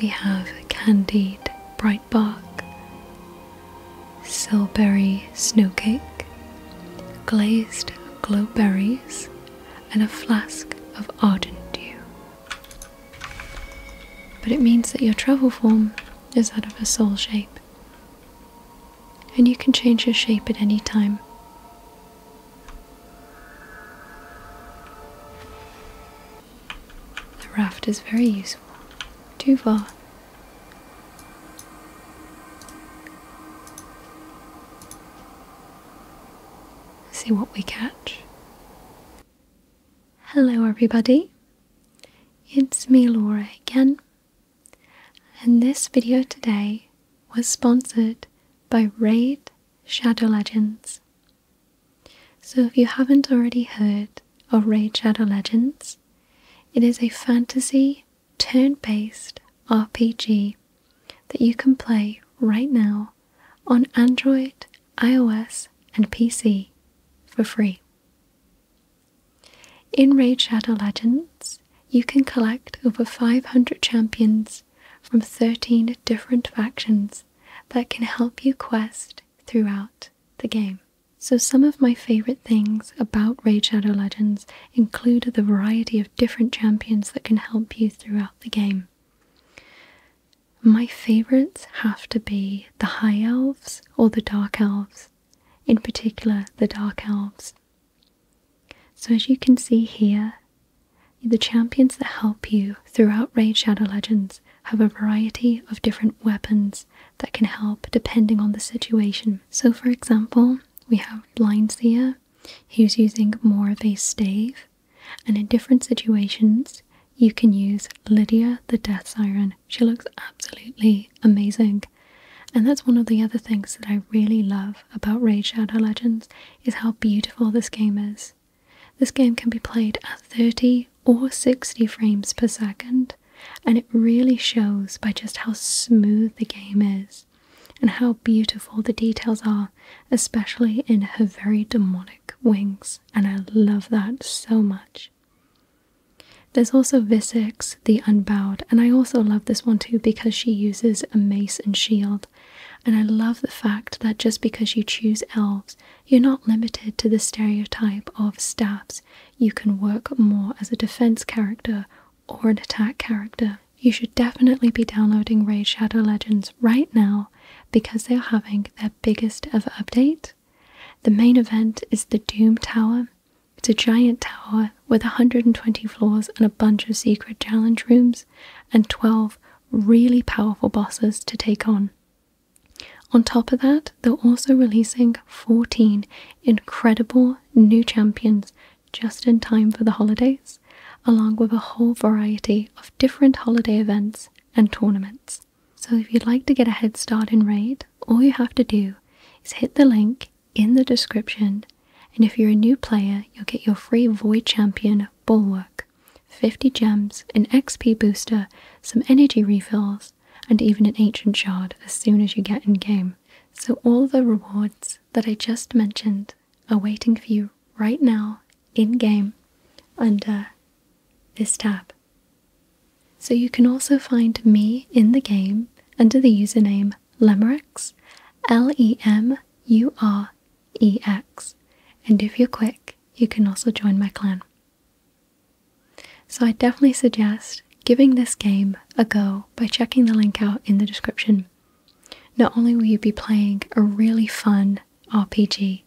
We have candied bright bark, silberry snowcake, glazed glowberries, and a flask of ardent dew. But it means that your travel form is that of a soul shape, and you can change your shape at any time. The raft is very useful. Too far. See what we catch. Hello, everybody. It's me, Laura, again. And this video today was sponsored by Raid Shadow Legends. So, if you haven't already heard of Raid Shadow Legends, it is a fantasy turn based RPG that you can play right now on Android, iOS, and PC for free. In Raid Shadow Legends, you can collect over 500 champions from 13 different factions that can help you quest throughout the game. So, some of my favorite things about Raid Shadow Legends include the variety of different champions that can help you throughout the game. My favorites have to be the High Elves or the Dark Elves, in particular, the Dark Elves. So, as you can see here, the champions that help you throughout Raid Shadow Legends have a variety of different weapons that can help depending on the situation. So, for example, we have Blind Blindseer, who's using more of a stave, and in different situations, you can use Lydia the Death Siren. She looks absolutely amazing. And that's one of the other things that I really love about Raid Shadow Legends is how beautiful this game is. This game can be played at 30 or 60 frames per second, and it really shows by just how smooth the game is and how beautiful the details are, especially in her very demonic wings, and I love that so much. There's also Visix, the Unbowed, and I also love this one too because she uses a mace and shield and I love the fact that just because you choose elves, you're not limited to the stereotype of stabs. You can work more as a defense character or an attack character. You should definitely be downloading Ray Shadow Legends right now because they are having their biggest ever update. The main event is the Doom Tower. It's a giant tower with 120 floors and a bunch of secret challenge rooms and 12 really powerful bosses to take on. On top of that, they're also releasing 14 incredible new champions just in time for the holidays, along with a whole variety of different holiday events and tournaments. So, if you'd like to get a head start in Raid, all you have to do is hit the link in the description, and if you're a new player, you'll get your free Void Champion Bulwark. 50 gems, an XP booster, some energy refills, and even an ancient shard as soon as you get in game. So, all the rewards that I just mentioned are waiting for you right now in game under this tab. So, you can also find me in the game under the username Lemurex, L E M U R E X. And if you're quick, you can also join my clan. So I definitely suggest giving this game a go by checking the link out in the description. Not only will you be playing a really fun RPG,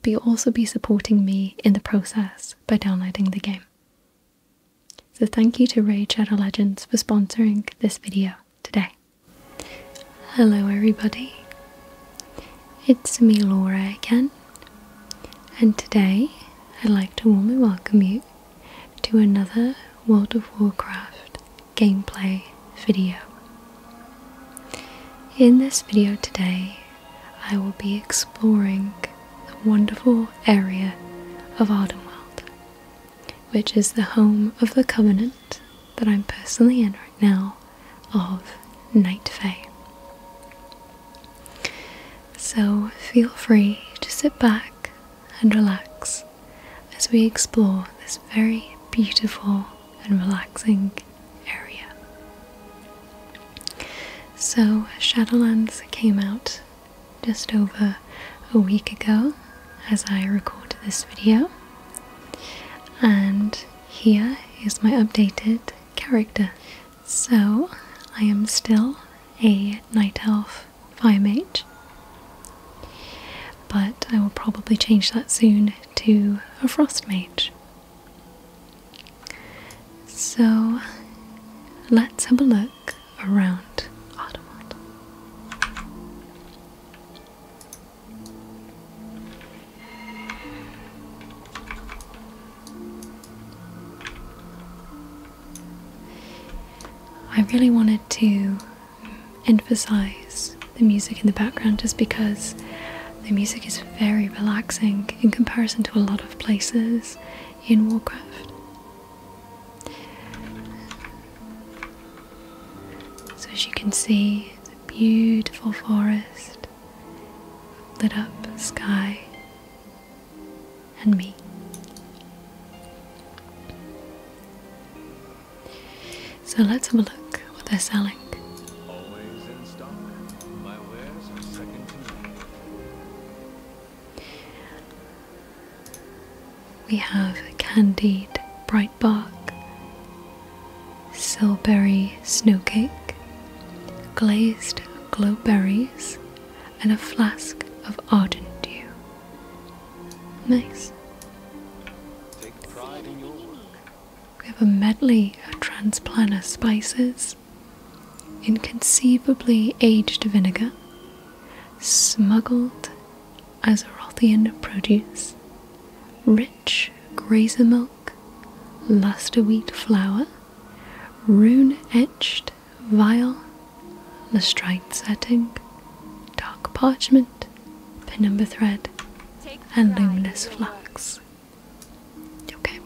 but you'll also be supporting me in the process by downloading the game. So thank you to Raid Shadow Legends for sponsoring this video today. Hello, everybody. It's me, Laura, again, and today I'd like to warmly welcome you to another World of Warcraft gameplay video. In this video today, I will be exploring the wonderful area of Ardenwald, which is the home of the Covenant that I'm personally in right now of Night Fae. So feel free to sit back and relax as we explore this very beautiful and relaxing area. So, Shadowlands came out just over a week ago as I recorded this video, and here is my updated character. So I am still a night elf fire mage, but I will probably change that soon to a frost mage. So let's have a look around Audemars. I really wanted to emphasize the music in the background just because the music is very relaxing in comparison to a lot of places in Warcraft. So, as you can see, beautiful forest, lit up sky, and me. So let's have a look what they're selling. We have candied bright bark, silberry snowcake, glazed glowberries, and a flask of ardent dew. Nice. We have a medley of transplanter spices, inconceivably aged vinegar, smuggled Azerothian produce, rich grazer milk, luster wheat flour, rune etched vial, lustrite setting, dark parchment, penumbra thread, and luminous flax. Okay.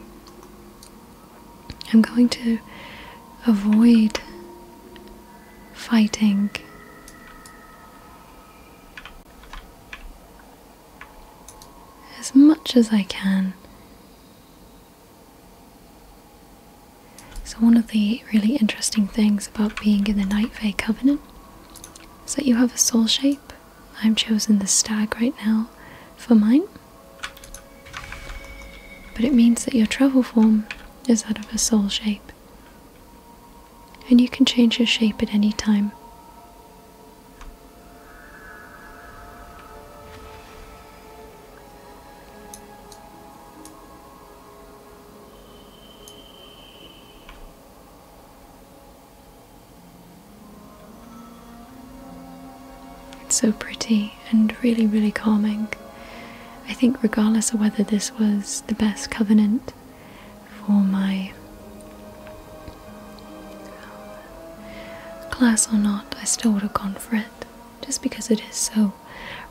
I'm going to avoid fighting as much as I can. So, one of the really interesting things about being in the Night Vale Covenant is that you have a soul shape. I'm chosen the stag right now for mine, but it means that your travel form is that of a soul shape and you can change your shape at any time. It's so pretty and really, really calming. I think, regardless of whether this was the best covenant for my class or not, I still would have gone for it just because it is so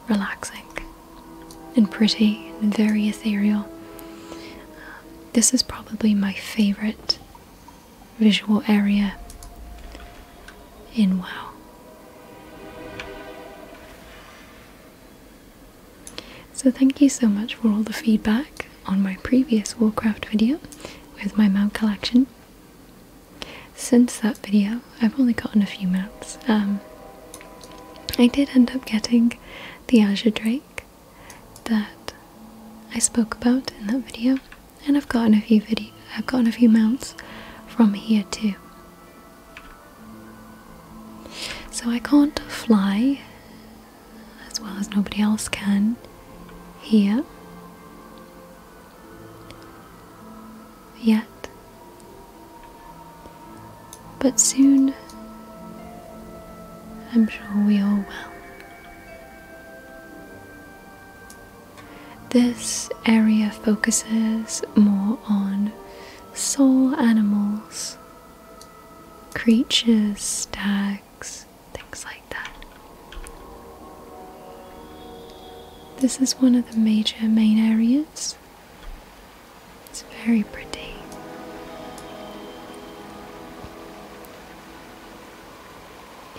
relaxing and pretty and very ethereal. This is probably my favorite visual area in WoW. So thank you so much for all the feedback on my previous Warcraft video with my mount collection. Since that video, I've only gotten a few mounts. Um, I did end up getting the Azure Drake that I spoke about in that video, and I've gotten a few video I've gotten a few mounts from here too. So I can't fly as well as nobody else can here yet. But soon I'm sure we all will. This area focuses more on soul animals creatures, stags, things like that. This is one of the major main areas. It's very pretty.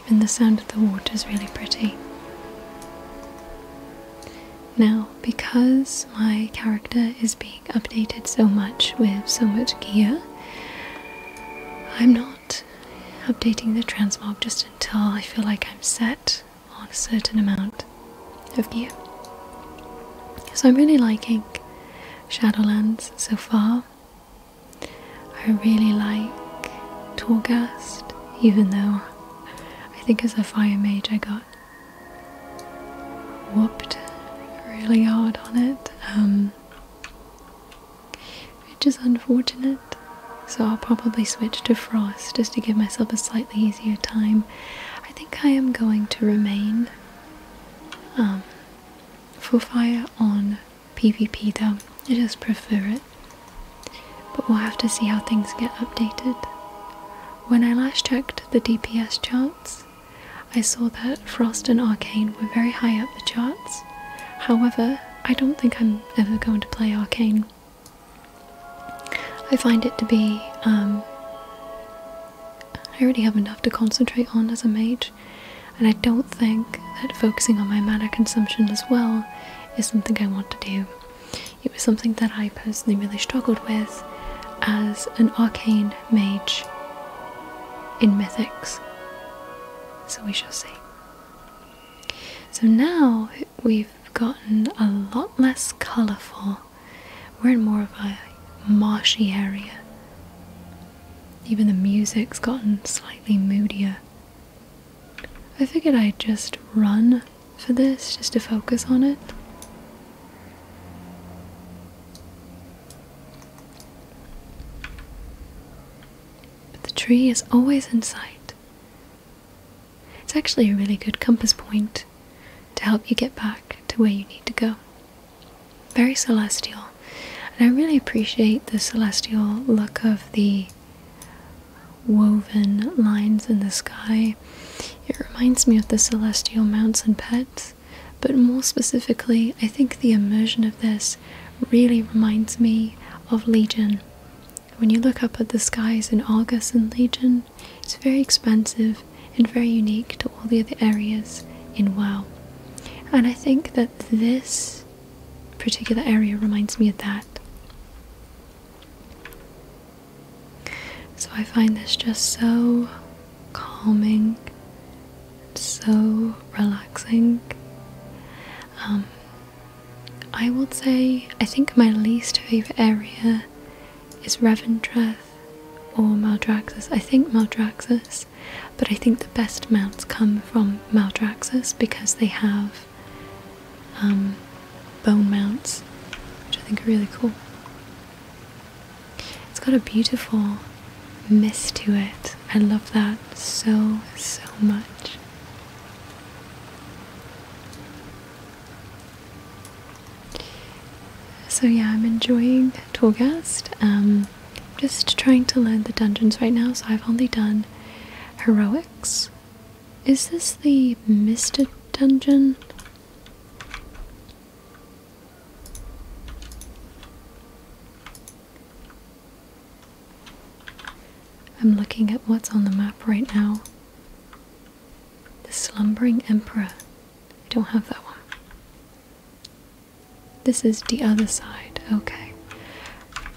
Even the sound of the water is really pretty. Now, because my character is being updated so much with so much gear, I'm not updating the transmog just until I feel like I'm set on a certain amount of gear. So I'm really liking Shadowlands so far. I really like Torghast, even though I think as a fire mage I got Whopped really hard on it, um, which is unfortunate. So I'll probably switch to frost just to give myself a slightly easier time. I think I am going to remain um, for fire on PvP though. I just prefer it. But we'll have to see how things get updated. When I last checked the DPS charts, I saw that Frost and Arcane were very high up the charts. However, I don't think I'm ever going to play Arcane. I find it to be. Um, I already have enough to concentrate on as a mage, and I don't think that focusing on my mana consumption as well is something I want to do. It was something that I I personally really struggled with as an arcane mage in Mythics. So we shall see. So now we've gotten a lot less colourful. We're in more of a marshy area. Even the music's gotten slightly moodier. I figured I'd just run for this, just to focus on it. But the tree is always in sight. It's actually a really good compass point to help you get back to where you need to go. Very celestial. And I really appreciate the celestial look of the woven lines in the sky. It reminds me of the celestial mounts and pets, but more specifically, I think the immersion of this really reminds me of Legion. When you look up at the skies in Argus and Legion, it's very expansive and very unique to all the other areas in WoW. And I think that this particular area reminds me of that. So I find this just so calming, so relaxing. Um, I would say I think my least favourite area is Revendreth or Maldraxxus. I think Maldraxxus, but I think the best mounts come from Maldraxxus because they have um, bone mounts, which I think are really cool. It's got a beautiful mist to it. I love that so, so much. So yeah, I'm enjoying Tolgast. I'm um, just trying to learn the dungeons right now, so I've only done heroics. Is this the misted Dungeon? I'm looking at what's on the map right now. The Slumbering Emperor. I don't have that one. This is the other side. Okay.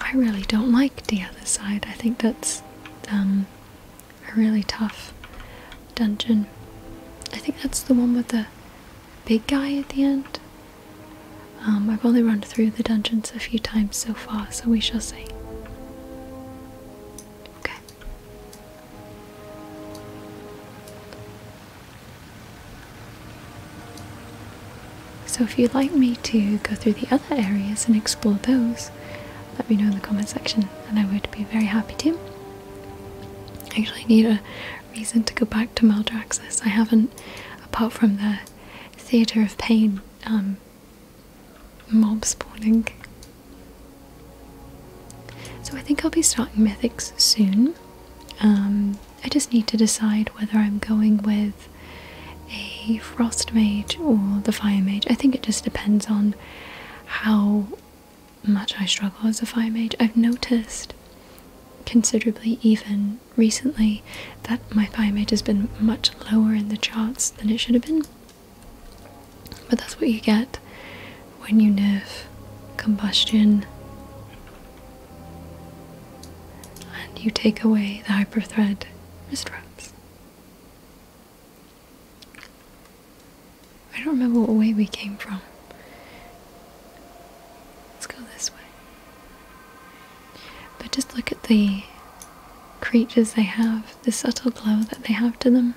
I really don't like the other side. I think that's um, a really tough dungeon. I think that's the one with the big guy at the end. Um, I've only run through the dungeons a few times so far, so we shall see. Okay. So, if you'd like me to go through the other areas and explore those, let me know in the comment section and I would be very happy to. I actually need a reason to go back to Maldraxxus. I haven't, apart from the Theatre of Pain um, mob spawning. So I think I'll be starting Mythics soon. Um, I just need to decide whether I'm going with a Frost Mage or the Fire Mage. I think it just depends on how much I struggle as a fire mage. I've noticed considerably, even recently, that my fire mage has been much lower in the charts than it should have been. But that's what you get when you nerf combustion and you take away the hyperthread misdrops. I don't remember what way we came from. Let's go this way. But just look at the creatures they have, the subtle glow that they have to them.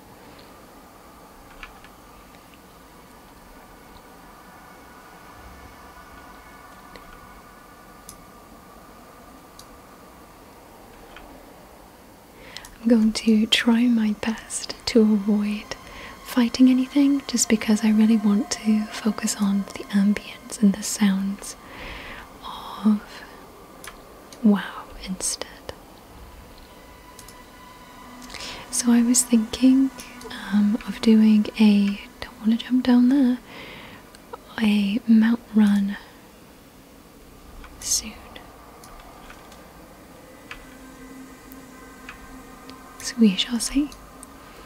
I'm going to try my best to avoid fighting anything just because I really want to focus on the ambience and the sounds of wow instead. So I was thinking um, of doing a don't want to jump down there a mount run soon. So we shall see.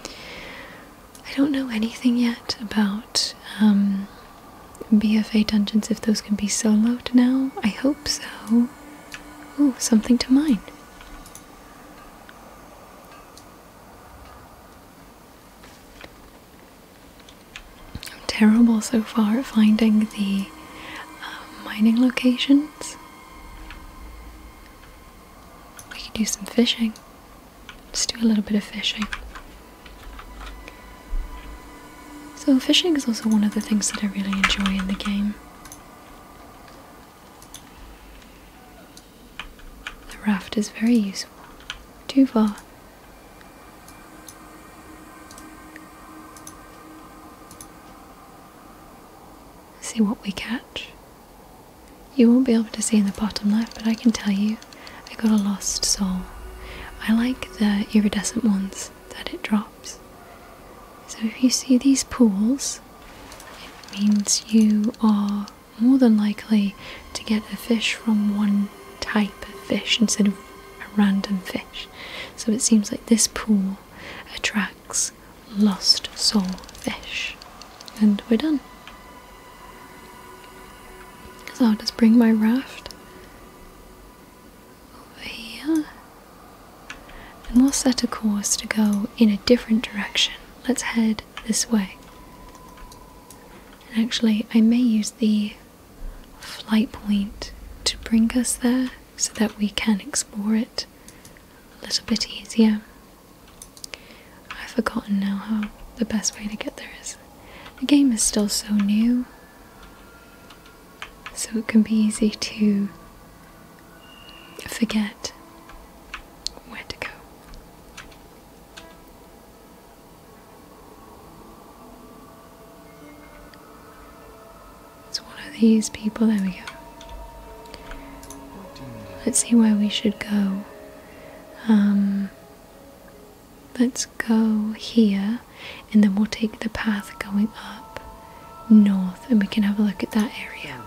I don't know anything yet about um, BFA dungeons, if those can be soloed now. I hope so. Ooh, something to mine. I'm terrible so far at finding the um, mining locations. We could do some fishing. Let's do a little bit of fishing. So, fishing is also one of the things that I really enjoy in the game. The raft is very useful. Too far. See what we catch. You won't be able to see in the bottom left, but I can tell you I got a lost soul. I like the iridescent ones that it drops. So if you see these pools, it means you are more than likely to get a fish from one type of fish instead of a random fish. So it seems like this pool attracts lost soul fish. And we're done. So I'll just bring my raft over here. And we'll set a course to go in a different direction. Let's head this way. And actually, I may use the flight point to bring us there so that we can explore it a little bit easier. I've forgotten now how the best way to get there is. The game is still so new, so it can be easy to forget where to go. It's one of these people. There we go. Let's see where we should go. Um, let's go here, and then we'll take the path going up north, and we can have a look at that area.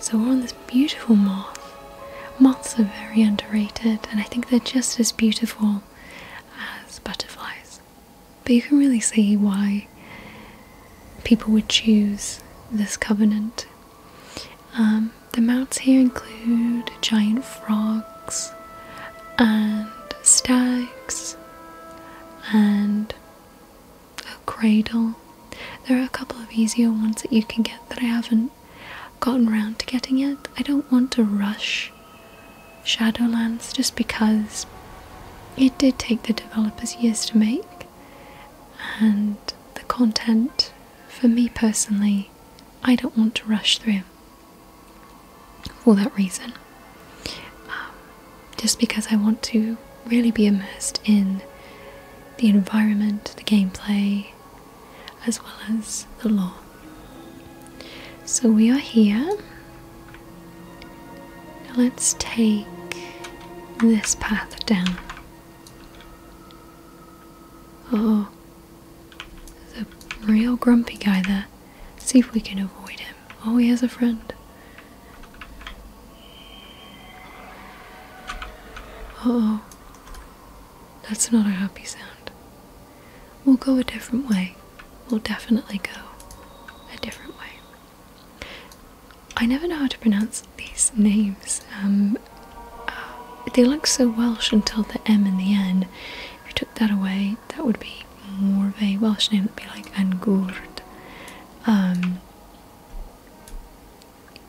So we're on this beautiful moss. Moths are very underrated, and I think they're just as beautiful as butterflies. But you can really see why people would choose this covenant. Um, the mounts here include giant frogs and stags and a cradle. There are a couple of easier ones that you can get that I haven't gotten round to getting it. I don't want to rush Shadowlands just because it did take the developers years to make, and the content, for me personally, I don't want to rush through for that reason. Um, just because I want to really be immersed in the environment, the gameplay, as well as the law. So we are here. Now let's take this path down. Oh, there's a real grumpy guy there. see if we can avoid him. Oh, he has a friend. oh, that's not a happy sound. We'll go a different way. We'll definitely go a different way. I never know how to pronounce these names. Um, uh, they look so Welsh until the M in the end. If you took that away, that would be more of a Welsh name. It would be like Angurd. Um,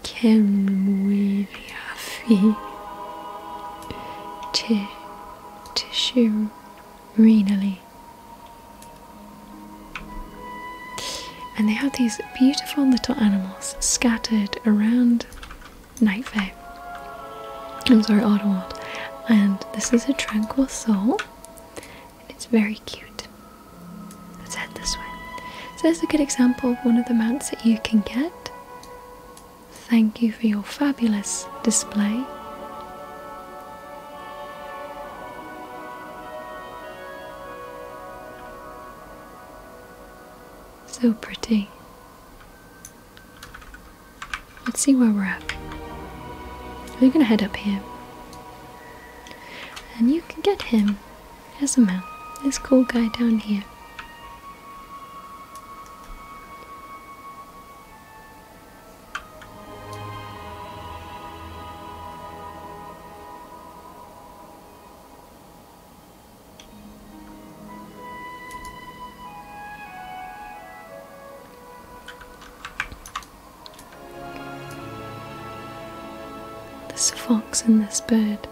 Cymru Yafi T tissue renally. And they have these beautiful little animals scattered around Nightvale. I'm sorry, Ottawa. And this is a tranquil soul. it's very cute. Let's head this way. So this is a good example of one of the mounts that you can get. Thank you for your fabulous display. So pretty. Let's see where we're at. We're gonna head up here. And you can get him as a man, this cool guy down here. This fox and this bird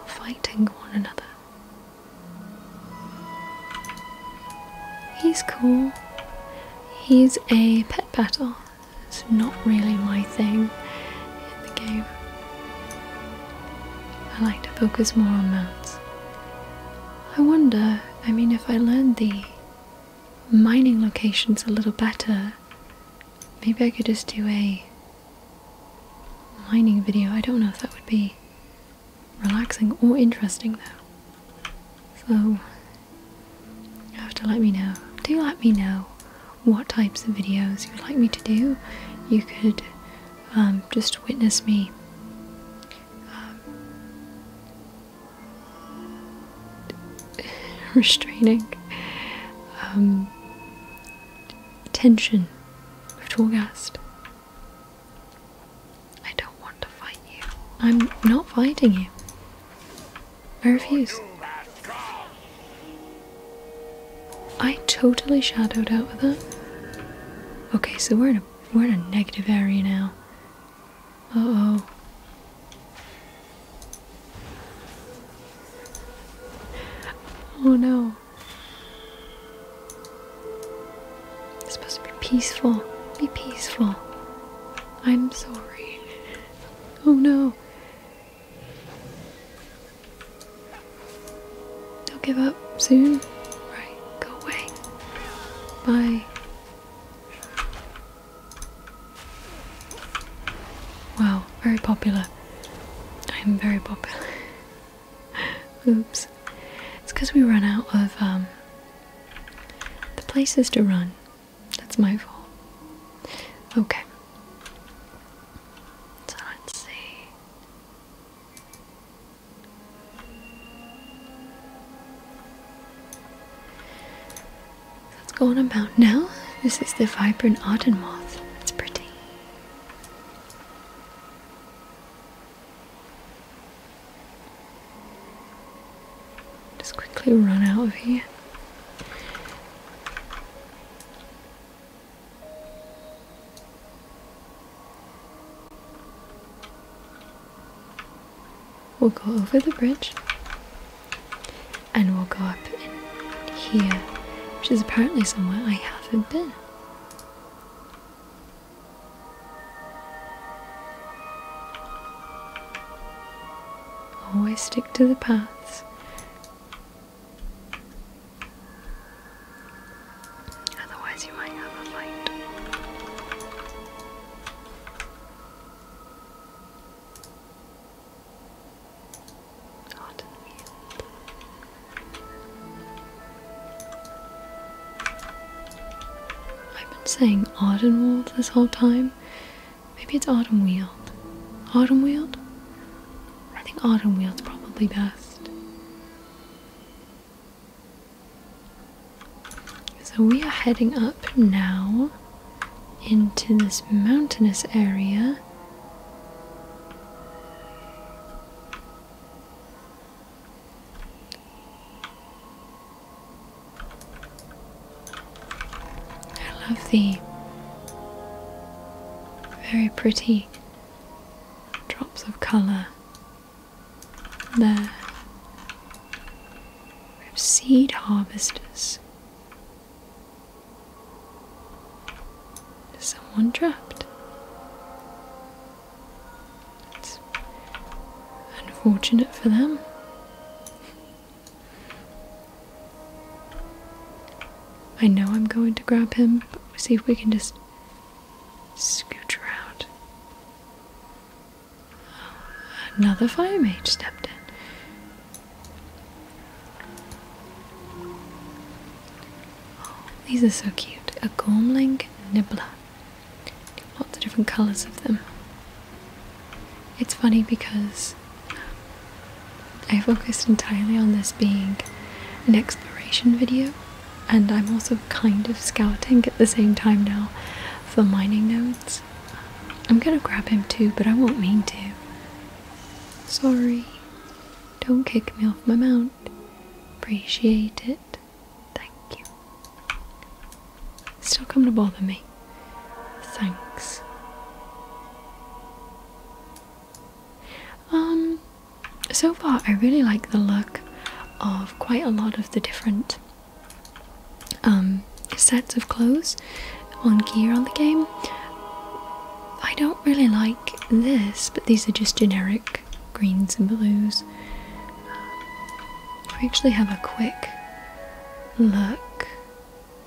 are fighting one another. He's cool. He's a pet battle. It's not really my thing in the game. I like to focus more on mounts. I wonder, I mean, if I learned the mining locations a little better, maybe I could just do a Mining video, I don't know if that would be relaxing or interesting though. So, you have to let me know. Do let me know what types of videos you would like me to do. You could um, just witness me um, restraining um, tension We've to I don't want to fight you. I'm not fighting you. I refuse. I totally shadowed out with that. Okay, so we're in a we're in a negative area now. Uh oh. Oh no. It's supposed to be peaceful. Be peaceful. I'm sorry. Oh no. I'll give up soon. Right, go away. Bye. Wow, very popular. I am very popular. Oops. It's because we run out of um, the places to run. That's my fault. Okay. So let's see. Let's go on about now. This is the vibrant Auden moth. It's pretty. Just quickly run out of here. We'll go over the bridge and we'll go up in here, which is apparently somewhere I haven't been. Always stick to the paths. Otherwise, you might have a fight. Hot and I've been saying Audenwold this whole time. Maybe it's Autumnweald. Autumnweald? I think Autumnweald's probably best. So we are heading up now into this mountainous area. I love the very pretty drops of colour there. We have seed harvesters someone trapped? It's unfortunate for them. I know I'm going to grab him, but we'll see if we can just scooch around. Another fire mage stepped in these are so cute. A Gormling Nibbler. Lots of different colours of them. It's funny because I focused entirely on this being an exploration video, and I'm also kind of scouting at the same time now for mining nodes. I'm gonna grab him too, but I won't mean to. Sorry. Don't kick me off my mount. Appreciate it. Thank you. Still come to bother me. Thanks. Um, so far I really like the look of quite a lot of the different um, sets of clothes on gear on the game. I don't really like this, but these are just generic greens and blues. I actually have a quick look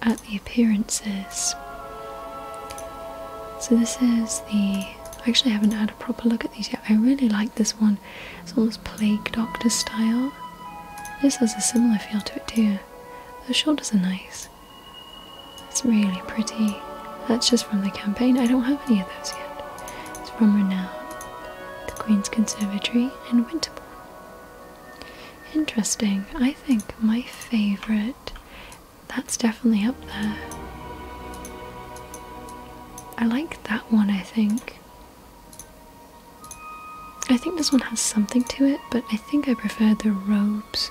at the appearances. So this is the. I actually haven't had a proper look at these yet. I really like this one. It's almost plague doctor style. This has a similar feel to it too. The shoulders are nice. It's really pretty. That's just from the campaign. I don't have any of those yet. It's from Renown, the Queen's Conservatory, and Winterbourne. Interesting. I think my favourite. That's definitely up there. I like that one, I think. I think this one has something to it, but I think I prefer the robes.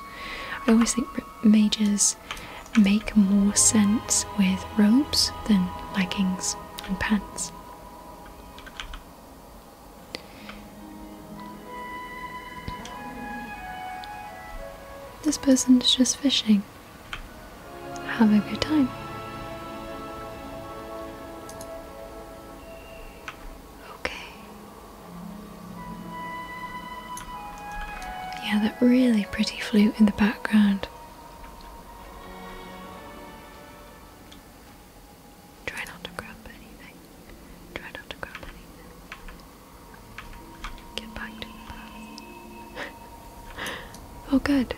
I always think mages make more sense with robes than leggings and pants. This person is just fishing. Have a good time. Okay. Yeah, that really pretty flute in the background. Try not to grab anything. Try not to grab anything. Get back to the past. oh, good.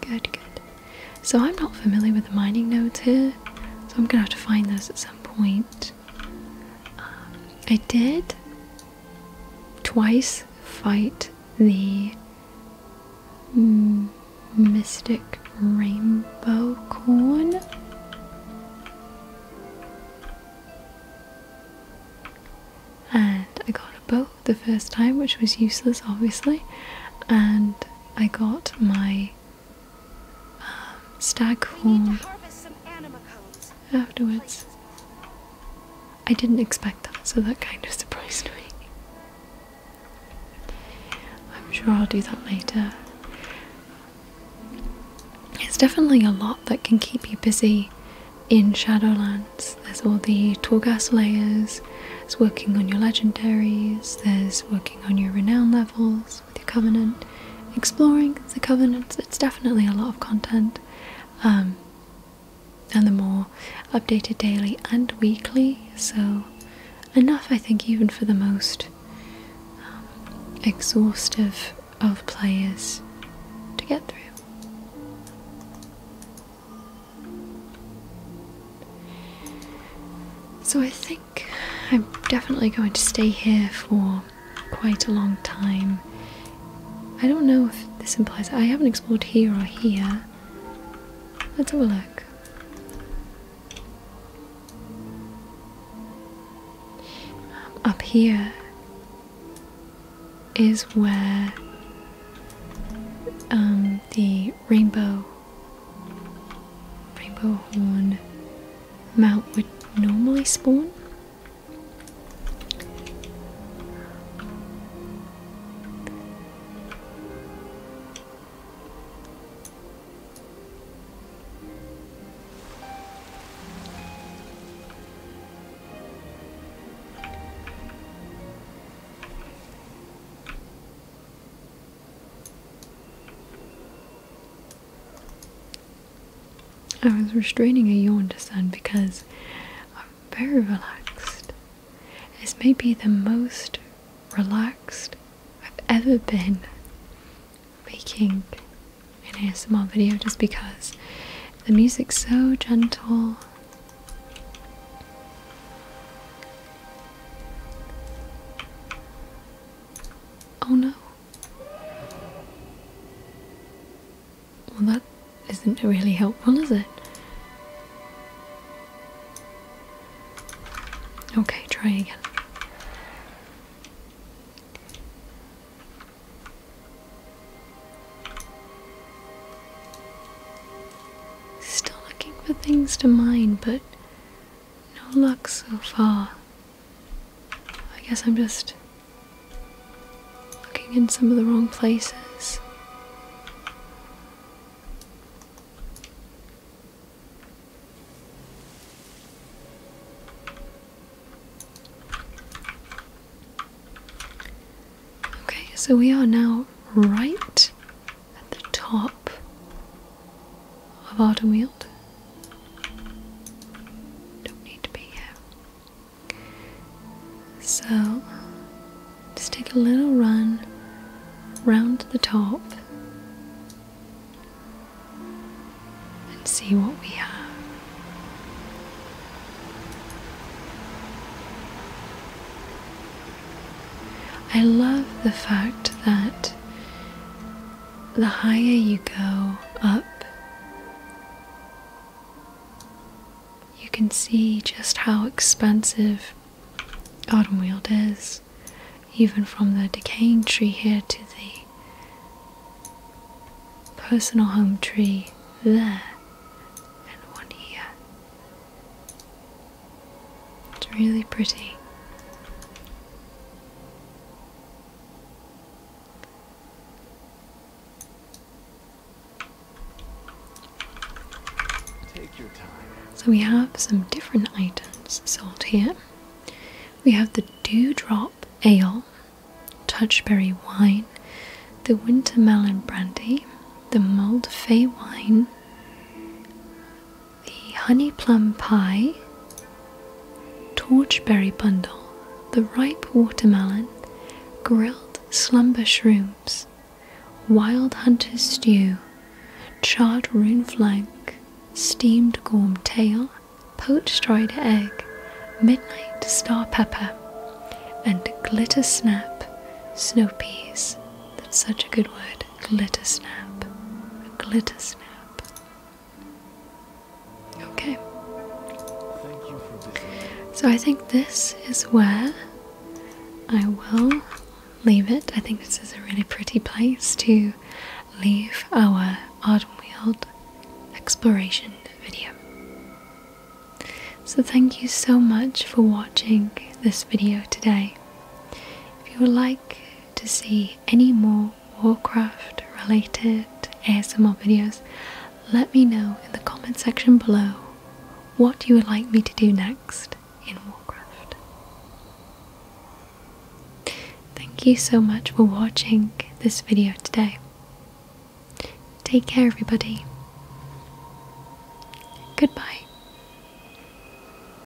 Good, good. So I'm not familiar with the mining nodes here, so I'm gonna have to find those at some point. I did twice fight the mm, Mystic Rainbow Corn. And I got a bow the first time, which was useless, obviously. And I got my um, Stockholm afterwards. I didn't expect that, so that kind of surprised me. I'm sure I'll do that later. It's definitely a lot that can keep you busy in Shadowlands. There's all the Torghast layers, there's working on your legendaries, there's working on your renown levels with your covenant, exploring the covenants. It's definitely a lot of content, um, and the more updated daily and weekly. So enough, I think, even for the most um, exhaustive of players to get through. So I think I'm definitely going to stay here for quite a long time. I don't know if this implies I haven't explored here or here. Let's have a look. Up here is where um, the rainbow rainbow horn mount would normally spawn. I was restraining a yawn to sun because I'm very relaxed. This may be the most relaxed I've ever been making an ASMR video just because the music's so gentle. Oh no. Well, that isn't really helpful, is it? Okay, try again. Still looking for things to mine, but no luck so far. I guess I'm just looking in some of the wrong places. Okay, so we are now right at the top of Autumnweald. Don't need to be here. So, just take a little run round the top and see what we have. I love the fact that the higher you go up, you can see just how expensive autumn Weald is, even from the decaying tree here to the personal home tree there and one here. It's really pretty. So we have some different items sold here. We have the Dewdrop Ale, Touchberry Wine, the Wintermelon Brandy, the Mold Fay Wine, the honey plum pie, torchberry bundle, the ripe watermelon, grilled slumber shrooms, wild hunter's stew, charred roon flank, steamed gorm tail, poached dried egg, midnight star pepper, and glitter snap, snow peas. That's such a good word word glitter snap. glitter snap. Okay. Thank you for so I think this is where I will leave it. I think this is a really pretty place to leave our Ardenweald exploration video. So thank you so much for watching this video today. If you would like to see any more Warcraft related ASMR videos, let me know in the comment section below what you would like me to do next in Warcraft. Thank you so much for watching this video today. Take care, everybody. Goodbye.